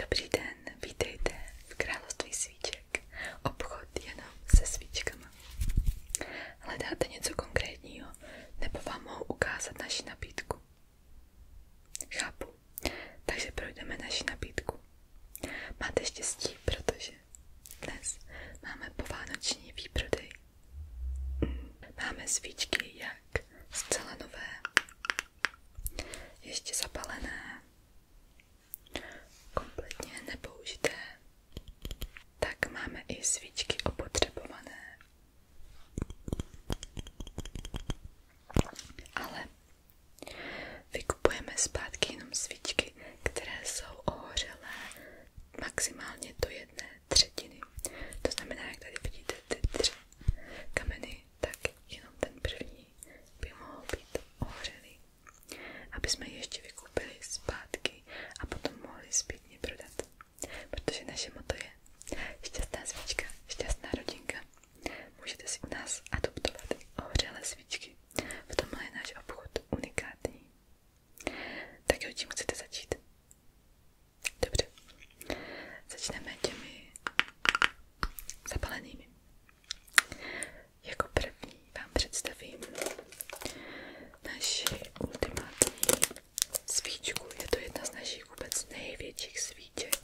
Dobrý den, vítejte v království svíček. Obchod jenom se svíčkama. Hledáte něco konkrétního, nebo vám mohu ukázat naši nabídku? Chápu, takže projdeme naši nabídku. Máte štěstí, protože dnes máme povánoční výprodej. Máme svíčky jak zcela nové, ještě zapalené, kompletně nepoužité. Tak máme i svíčky opotřebované. Ale vykupujeme zpátky jenom svíčky, které jsou ohořelé maximálně do jedné třetiny. To znamená, jak tady vidíte ty tři kameny, tak jenom ten první by mohl být ohřelý, aby jsme ještě vykoupili zpátky a potom mohli zpětně prodat. Protože naše moto je šťastná svíčka, šťastná rodinka. Můžete si u nás adoptovat ohřelé svíčky. V tomhle je náš obchod unikátní. Tak jo, tím chcete začít? Dobře. Začneme těmi zapalenými. Jako první vám představím naši ultimátní svíčku. Je to jedna z našich vůbec největších svíček.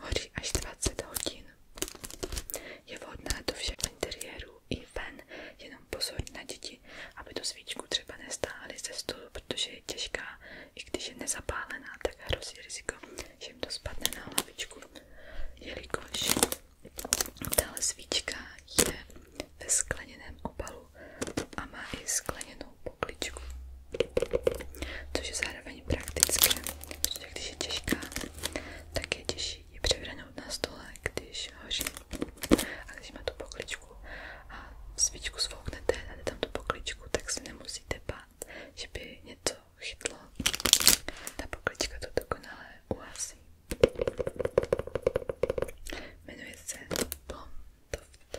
Hoří až 20 hodin. Je vhodná do všech interiérů i ven. Jenom pozor na děti, aby tu svíčku třeba nestáhli ze stolu, protože je když je nezapálená, tak hrozí riziko, to spadne na hlavičku, jelikož tahle svíčka je ve skleněném opalu a má i skleněnou pokličku, což je zároveň praktické, protože když je těžká, tak je těžší ji na stole, když hoří. A když má tu pokličku a svíčku svouknete a dáte tam tu pokličku, tak se nemusíte bát stát, že by něco chytlo. Ta poklička to dokonale uhasí. Jmenuje se Blomtoft.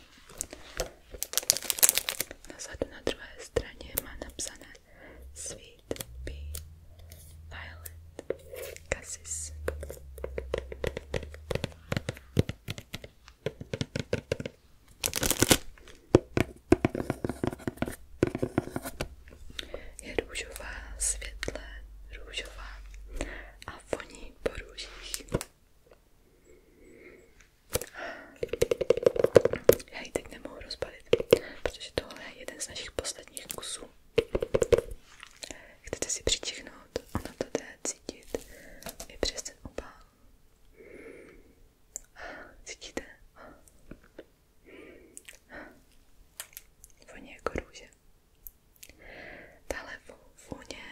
Na zadu na druhé straně má napsané Sweet Bee Violet Cassis. Je růžová, světle růžová a voní po růžích. Já ji teď nemohu rozbalit, protože tohle je jeden z našich posledních kusů. Chcete si přičichnout, ono to jde cítit i přes ten obal. Cítíte? Voní jako růže. Tahle vůně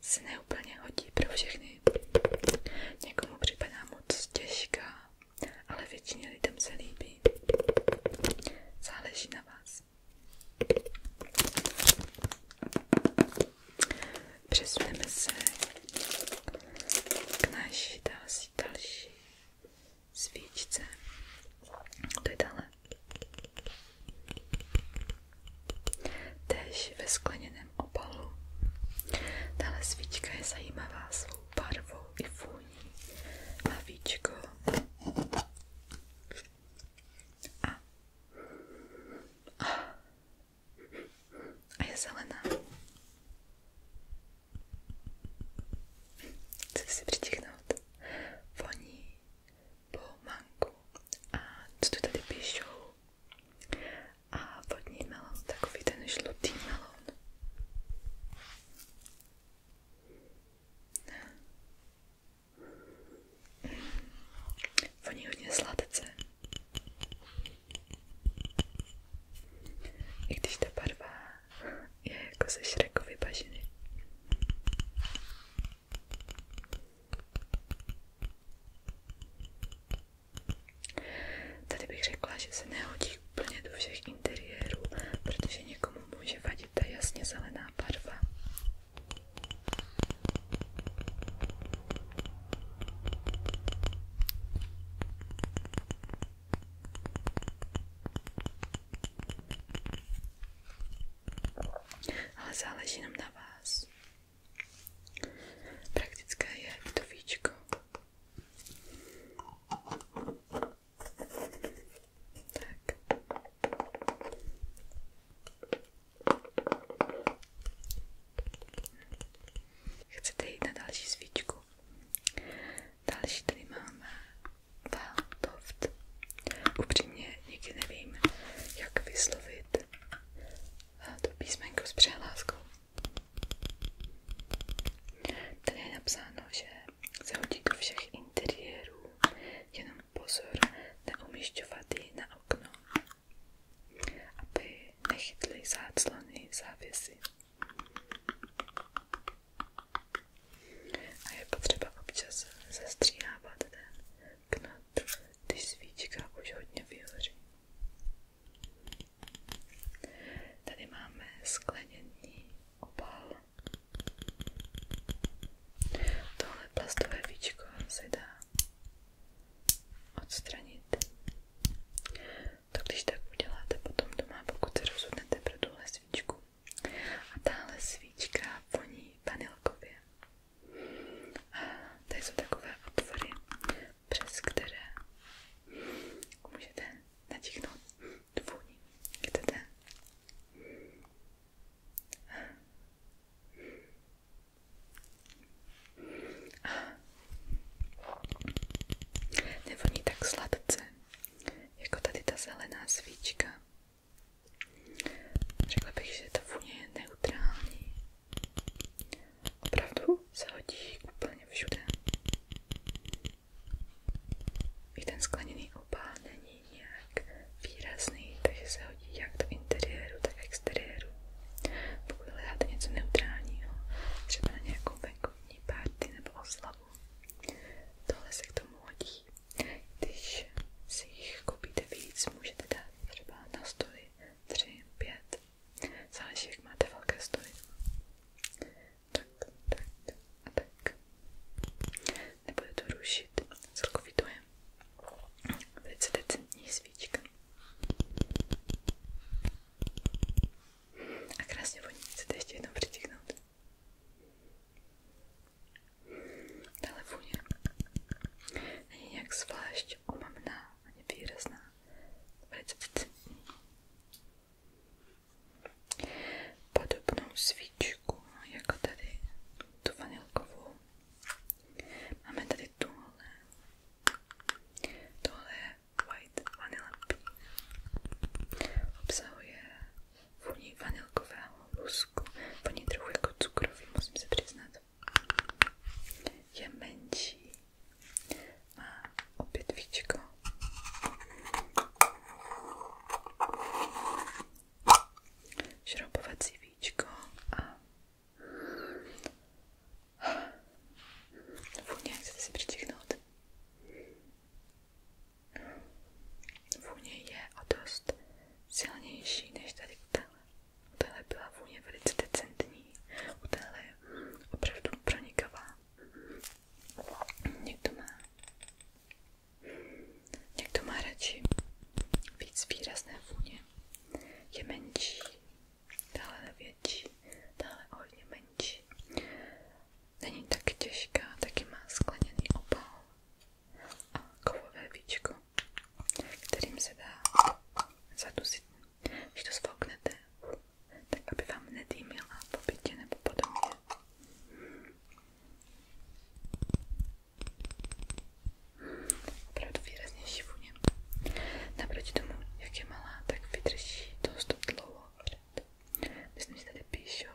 se neúplně hodí pro všechny. Někomu připadá moc těžká, ale většině lidem se líbí. Záleží na vás. Přesuneme se k naší další, další svíčce. To je dále. Též ve skleněném opalu. Tahle svíčka je zajímavá svou barvou i vůní. Má víčko. A. A. A je zelená. Chci si přičíchnout voní po manku. A co tu tady píšou? A vodní melon, takový ten žlutý melon. Voní hodně sladce. I když ta barva je jako ze Shrekovy bažiny. Tady bych řekla, že se nehodí úplně do všech interiérů, protože někomu může vadit ta jasně zelená barva. Ale záleží jenom na vás. Praktické je to víčko. Tak. Chcete na další svíčku? Další tady máme Veldoft. Upřímně nikdy nevím, jak vyslovit to písmenko s přehláskou. Tady je napsáno, že se hodí do všech interiérů, pozor na umišťovaty na okno, aby nechytly záclony závěsy. A je potřeba občas zastříhávat ten knot, když svíčka už hodně vyhoří. Tady máme skleněný obal. Tohle plastové víčko se odstranit. To když tak uděláte potom doma, pokud se rozhodnete pro tuhle svíčku. A tahle svíčka voní vanilkově. A tady jsou takové otvory, přes které můžete natíchnout tu vůni. Chcete? Nevoní tak sladce, jako tady ta zelená svíčka. Řekla bych, že ta vůně je neutrální. Opravdu se hodí úplně všude. I ten skleněný opál není není nějak výrazný, takže se hodí jak do interiéru, tak exteriéru. Pokud hledáte něco neutrálního, třeba na nějakou venkovní party nebo oslavu, tohle se k tomu hodí. Když si jich koupíte víc, můžete dát třeba na stoly 3, 5, záleží jak máte velké stoly. Tak, tak, a tak nebude to rušit celkový dojem. Velice decentní svíčka. A krásně voní, chcete ještě jednou přitiknout. Tahle vůně není nějak zvlášť omamná ani výrazná, velice decentní. Podobnou svíčku no, jako tady tu vanilkovou Máme tady tohle. Tohle je White Vanilla Pea. Obsahuje vůni vanilkového lusku. Voní trochu jako cukrový, musím se přiznat. Je menší. Má opět víčko. Šroubovací víčko víčko a vůně, chcete si přičichnout? Vůně je o dost silnější než tady u téhle. U téhle byla vůně velice decentní, u téhle opravdu pronikavá. Někdo má Někdo má radši víc výrazné vůně. Je menší, dále větší, dále hodně menší. Není tak těžká, taky má skleněný opal a kovové víčko, kterým se dá zadusit, když to zvoknete, tak aby vám nedýmila po bytě nebo po domě. Opravdu výrazně šivuně. Naproti tomu, jak je malá, tak vydrží dost dlouho. Myslím, že tady píšou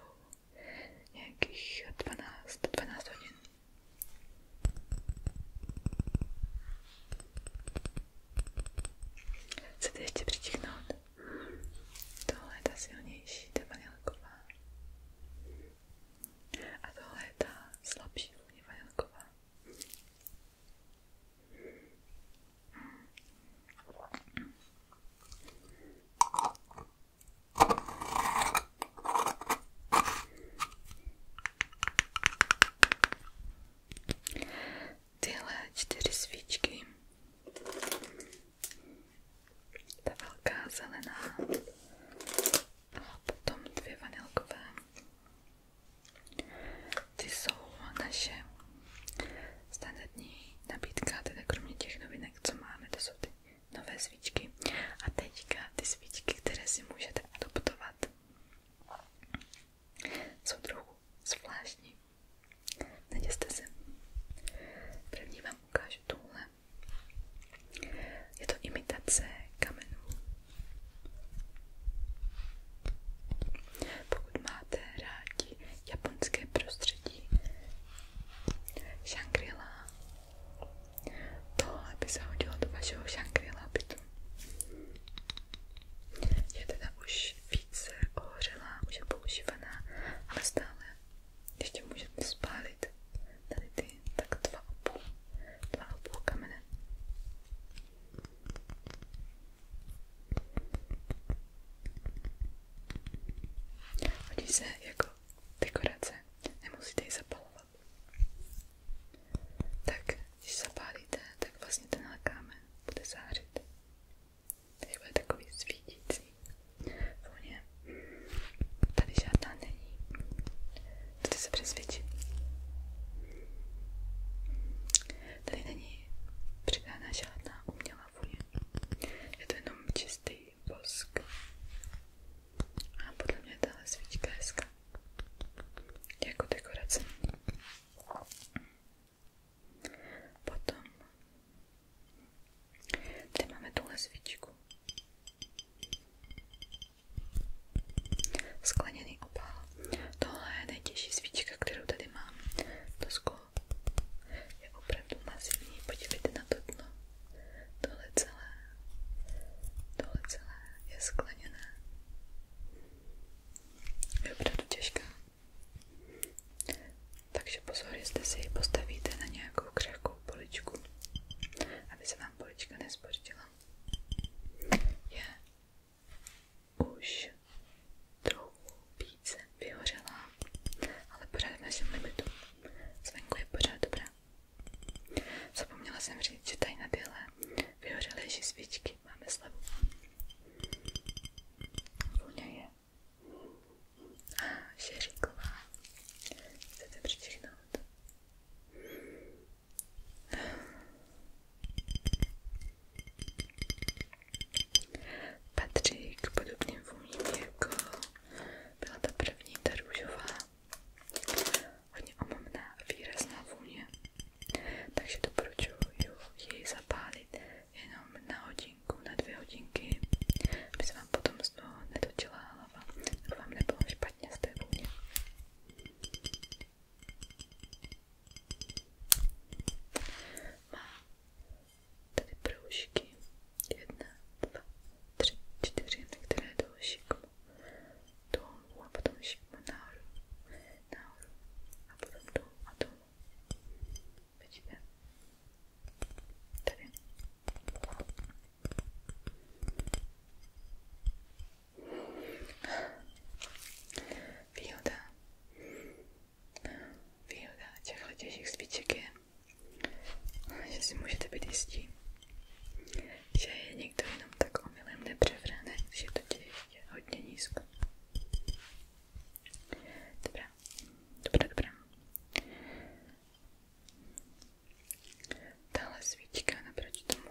nějakých 12, 12 hodin. Chcete ještě přitiknout? Tohle je ta silnější, ta vanilková. A tohle je ta slabší vůně vanilková. Tyhle čtyři svíčky ta velká zelená a potom dvě vanilkové. Ty jsou naše standardní nabídka, teda kromě těch novinek, co máme, jsou ty nové svíčky. A teďka ty svíčky, které si můžete adoptovat, jsou trochu zvláštní. Neděste se. První vám ukážu tuhle ale je to imitace kamenů. Pokud máte rádi japonské prostředí Shangri-La, tohle by se hodilo do vašeho Shangri-La bytu. Je teda už více ohořelá, už je používaná, ale stále ještě můžete spálit tady ty tak dva a půl, dva a půl kamene. Hodí se jako dekorace, nemusíte ji zapalovat. Tak, když zapálíte, tak vlastně tenhle kámen bude zářit. Tady bude takový svítící vůně. Tady žádná není. Tady se přesvědčím. Tady není přidána žádná umělá vůně. Je to jenom čistý bosk. A podle mě tahle svíčka je hezká. Jako dekorace. Potom Tady máme tuhle svíčku. Skleněný opál. Tohle je nejtěžší svíčka, kterou tady mám. To sklo je opravdu masivní. Podívejte na to dno. Tohle celé, tohle celé je skleněné. Je opravdu těžká. Takže pozor, jestli si ji postavíte na nějakou křehkou poličku, aby se vám polička nespořtila. Je už trochu více vyhořela, ale pořád v našem limitu. Zvenku je pořád dobrá. Zapomněla jsem říct, že tady na tyhle vyhořelejší svíčky máme slavu. Vůně je Šeříková, chcete přičinout? Patří k podobným vůním, jako byla ta první, ta růžová. Hodně omamná, výrazná vůně. Takže doporučuji ji zapálit jenom na hodinku, na dvě hodinky, aby se vám potom z toho netočila hlava, aby vám nebylo špatně z té vůně. Má tady proužky, jedna, dva, tři, čtyři, některé jdou šikmo dolů a potom šikmo nahoru, nahoru a potom dolů a dolů. Počkej. Tady. Výhoda. Výhoda těchto těžkých spíček je, že si můžete být jistí, že je někdo jenom tak omylem nepřevrane, že to je hodně nízko. Dobrá, Dobré, dobré. Tahle svíčka naproti tomu.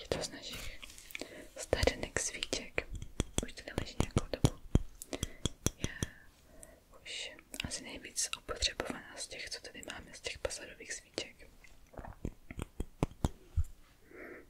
Je to z našich stařenek svíček. Už tady leží nějakou dobu. Je už asi nejvíc opotřebovaná z těch, co tady máme, z těch pasadových svíček.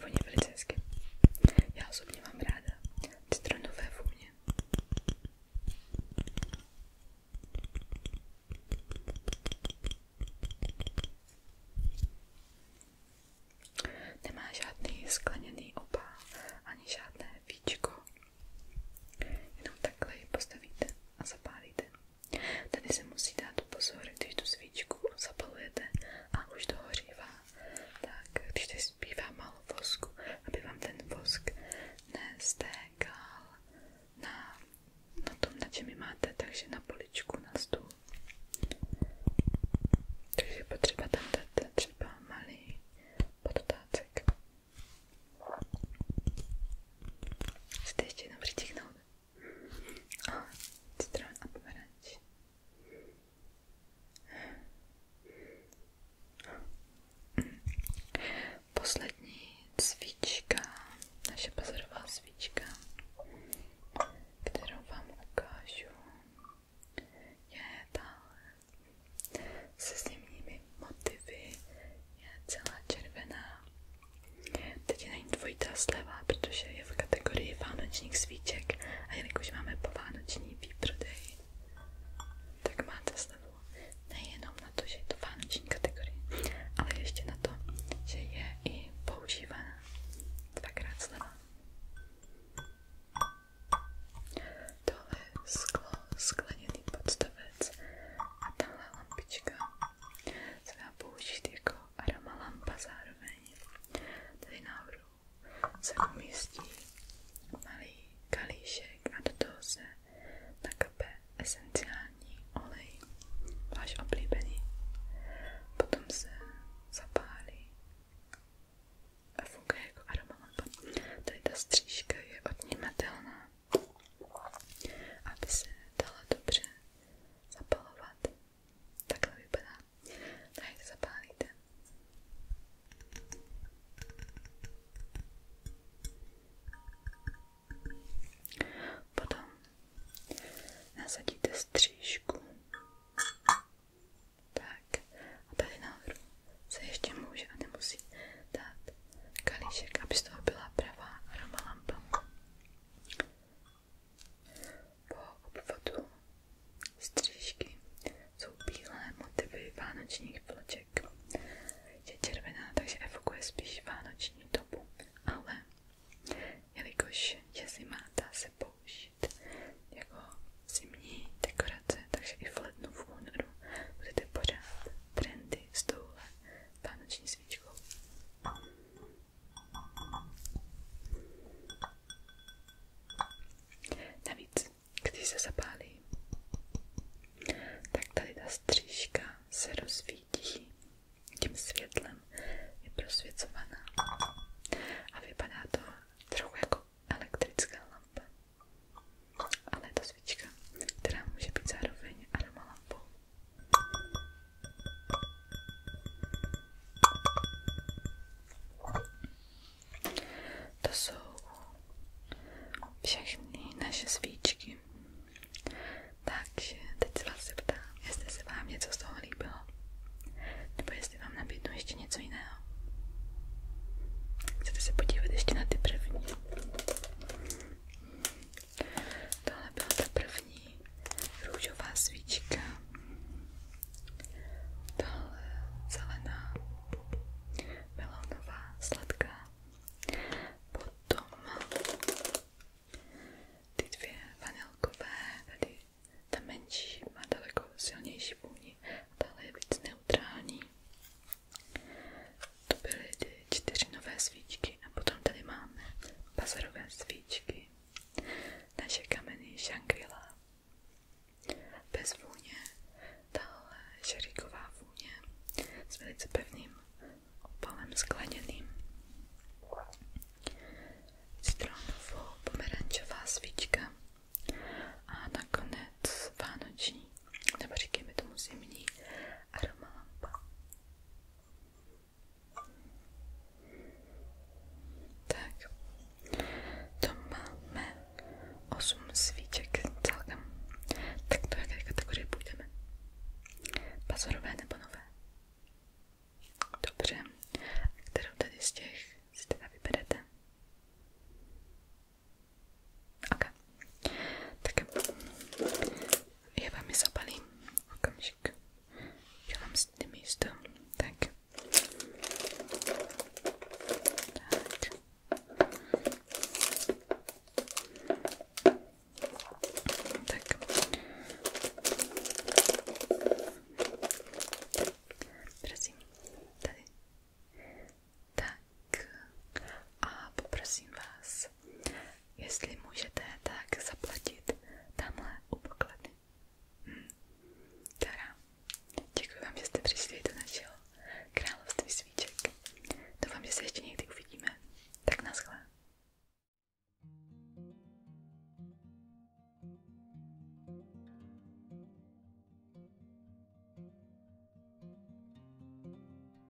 Voní velice hezky. Já osobně mám ráda citronové vůně. Nemá žádný skleněný opál, ani žádné víčko. Jenom takhle ji postavíte a zapálíte. Tady se musí dát pozor, když tu svíčku zapalujete a už dohořívá, tak když tady zbývá málo vosku, aby vám ten vosk nestékal na, na tom, na čem máte, takže na poličku, na stůl. Takže je potřeba tam dát třeba malý podtácek. Chcete ještě jenom přitiknout? A citron a pomeranč. Poslední cvička, naše bazarová cvička, kterou vám ukážu, je tahle se zimními motivy, je celá červená Teď je na ní dvojitá sleva, protože je v kategorii vánočních svíček a jelikož máme po vánoční výprodej, tak máte slevu nejenom na to, že je to vánoční kategorie, ale ještě na to, že je i používaná dvakrát sleva. Tohle je sklo, skleněný podstavec a tahle lampička se dá použít jako aroma lampa zároveň. Tady nahoru se umístí malý kalíšek a do toho se nakape esenciální olej, váš oblíbený. Potom se zapálí a funguje jako aroma lampa. Tady ta střížka je odnímatelná, aby se dala dobře zapalovat. Takhle vypadá. Tak to zapálíte. Potom nasadíte střížku. Tak a tady nahoru se ještě může a nemusí dát kalíšek, aby z toho byla pravá aromalampa. Po obvodu střížky jsou bílé motivy vánočních vloček. Je červená, takže evokuje spíš vánoční dobu, ale jelikož je zima, dá se použít jako zimní dekorace, takže i v lednu v únoru budete pořád trendy s touhle vánoční svíčkou. Navíc, když se zapálí, tak tady ta střížka se rozsvítí tím světlem, je prosvěcovaná a vypadá to trochu jako elektrická lampa. Ale je to svíčka, která může být zároveň aromalampou. To jsou všechny naše svíčky. Takže teď se vás zeptám, jestli se vám něco z toho líbilo. Nebo jestli vám nabídnu ještě něco jiného. Chcete se podívat ještě na ty první? Tohle byla ta první růžová svíčka. Tohle zelená melonová sladká. Potom ty dvě vanilkové, tady ta menší má daleko silnější vůni, tahle je víc neutrální. To byly ty čtyři nové svíčky a potom tady máme bazarové svíčky. Naše kameny Shangri-La. Bez vůně, tahle šeriková vůně s velice pevným opalem skleněným. Citronovou pomerančová svíčka a nakonec vánoční, nebo říkejme tomu zimní aromalampa. Tak, to máme 8 svíček celkem. Tak do jaké kategorie půjdeme? Bazorové nebo nové? Dobře, a kterou tady z těch si teda vyberete? Okay. Tak já vám je zabalím. Okamžik. Já vám si ty místo. Tak. Tak. Tak. Prosím, tady. Tak. A poprosím vás, jestli můžete, tak zaplatit tamhle u pokladny. Hm. Dobrá, děkuji vám, že jste přišli do našeho království svíček. Doufám, že se ještě někdy uvidíme. Tak naschle.